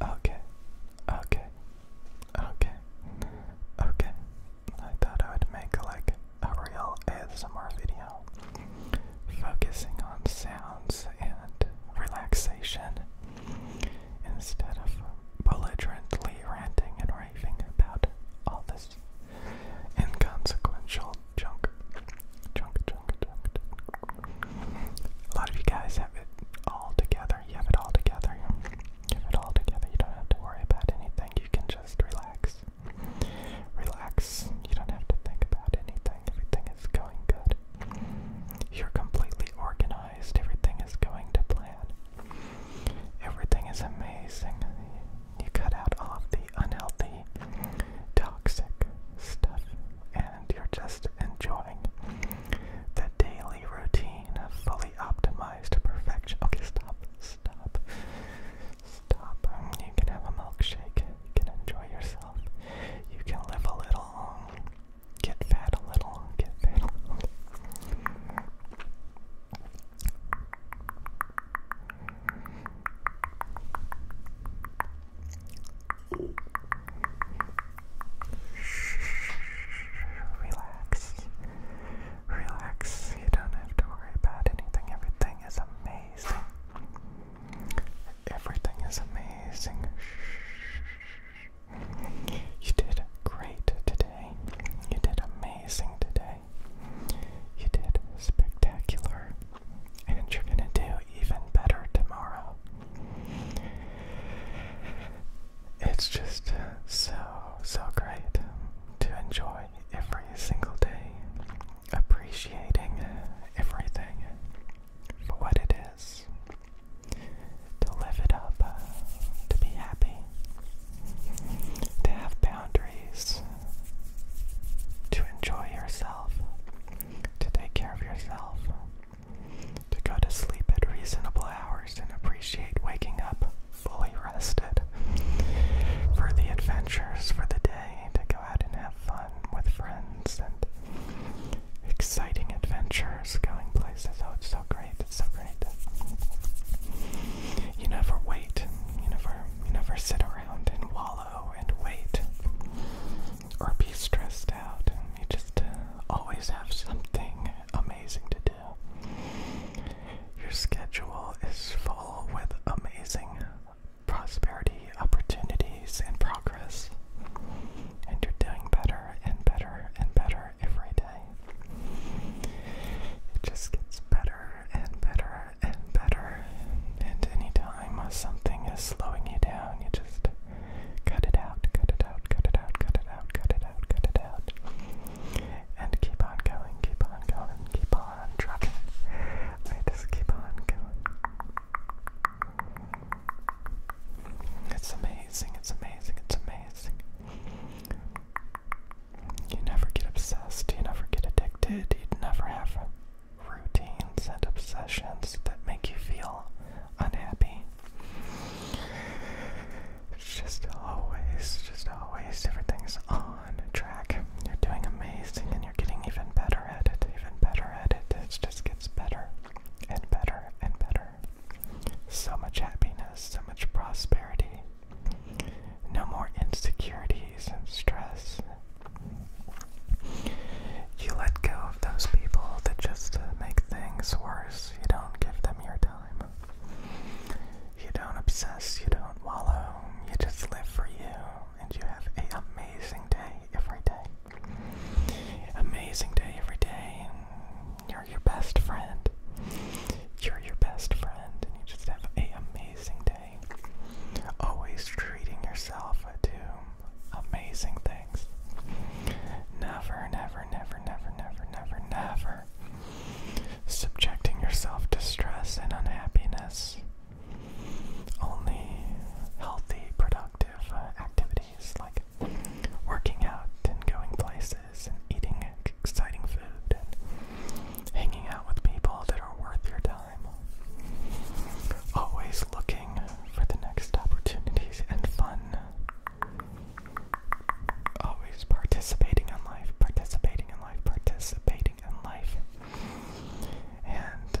Okay, okay, okay, okay. I thought I would make like a real ASMR video focusing on sounds and relaxation instead of belligerently ranting and raving about all this inconsequential junk. Junk, junk, junk, junk. A lot of you guys have it all together. You have it all together. You have it all together. You don't have to worry about anything. You can just relax. Relax. You don't have to think about anything. Everything is going good. You're completely organized. Everything is going to plan. Everything is amazing. You cut out all the unhealthy, toxic stuff and you're just enjoying the daily routine of fully optimized perfection. Okay, stop, stop, stop. You can have a milkshake, you can enjoy yourself, you can live a little, get fat a little, get fat Relax. Relax. You don't have to worry about anything. Everything is amazing. Everything is amazing. You did great today. You did amazing today. You did spectacular, and you're gonna do even better tomorrow. It's just so, so great to enjoy every single day, appreciating everything for what it is, to live it up, uh, to be happy, to have boundaries, to enjoy yourself, to take care of yourself, to go to sleep at reasonable hours and appreciate waking up fully rested, for the adventures for the day, to go out and have fun with friends and exciting adventures, going places. Oh, it's so great, it's so great you never wait. You never you never sit around and wallow and wait or be stressed out. You just uh, always have something amazing to do. Your schedule is full with amazing prosperity, opportunities, and progress. And you're doing better and better and better every day. It just gets better and better and better. And anytime something is slowing you down, you just cut it out, cut it out, cut it out, cut it out, cut it out, cut it out. And keep on going, keep on going, keep on trucking. I just keep on going. It's amazing, it's amazing, it's amazing. You never get obsessed, you never get addicted, you'd never have routines and obsessions that make you feel unhappy. It's just always, just always, everything's on track. You're doing amazing and you're getting even better at it, even better at it. It just gets better and better and better. So much happiness, so much prosperity. No more insecurities and stress. You let go of those people that just uh, make things worse. You don't give them your time. You don't obsess, you don't wallow, you just live for you, and you have an amazing day every day. Amazing day every day. You're your best friend. You're your best friend, and you just have a amazing day. Always treating yourself to amazing things. Never, never, never, never, never, never, never subjecting yourself to stress and unhappiness. Only healthy, productive uh, activities activities like working out and going places and eating exciting food and hanging out with people that are worth your time. Always looking for the next opportunities and fun. Always participating in life, participating in life, participating in life. And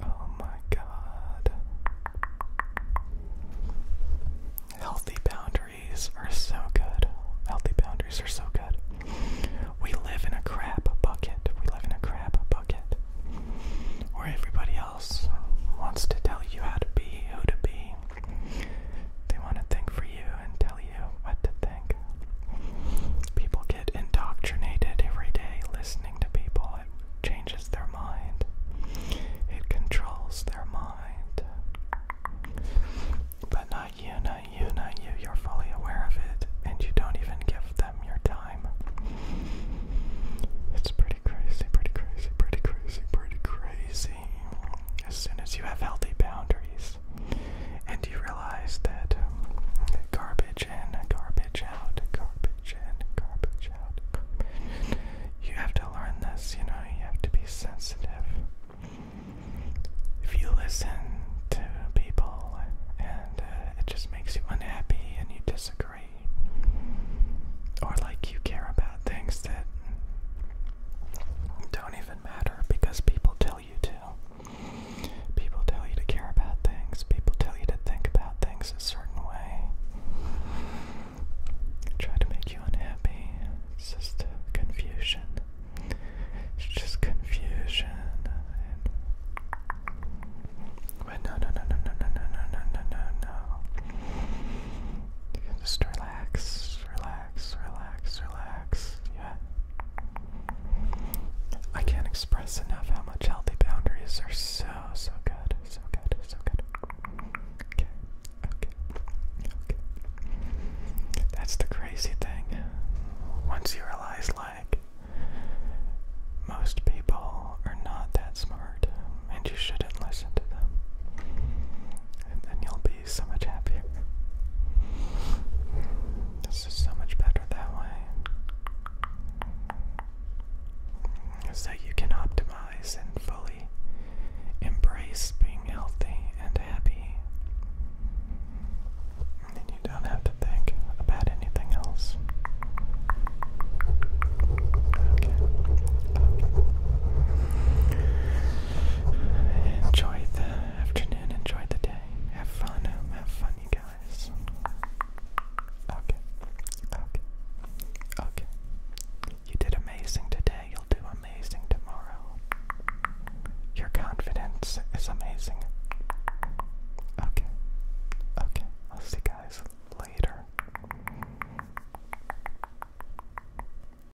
Oh my god. Healthy boundaries are so good. Healthy boundaries are so good. We live in a crap bucket. We live in a crap bucket where everybody else wants to tell you how to be, who to be. They want to think for you and tell you what to think. People get indoctrinated every day listening to people changes their mind. It controls their mind. But not you, not you, not you. You're fully aware of it, and you don't even give them your time. It's pretty crazy, pretty crazy, pretty crazy, pretty crazy. As soon as you have healthy boundaries and you realize that garbage garbage out, garbage in, garbage out, garbage. You have to learn this, you know, you have to be sensitive. If you listen to people and uh, it just makes you unhappy and you disagree, or like you care about things that don't even matter because people tell you to. People tell you to care about things, people tell you to think about things a certain way. Try to make you unhappy. It's just confusion. It's just confusion. But no, no, no, no, no, no, no, no, no, no, no. just relax, relax, relax, relax. Yeah. I can't express enough how much healthy boundaries are so, so good. So good, so good. Okay, okay, okay. That's the crazy thing. Once you realize, like, most people are not that smart and you shouldn't listen to them, and then you'll be be so much happier. This is so much better that way. So you can optimize and fully embrace being healthy and happy. And you don't have to think about anything else. Enjoy the afternoon, enjoy the day. Have fun, have fun, you guys. Okay, okay, okay. You did amazing today, you'll do amazing tomorrow. Your confidence is amazing. Okay, okay, I'll see you guys later.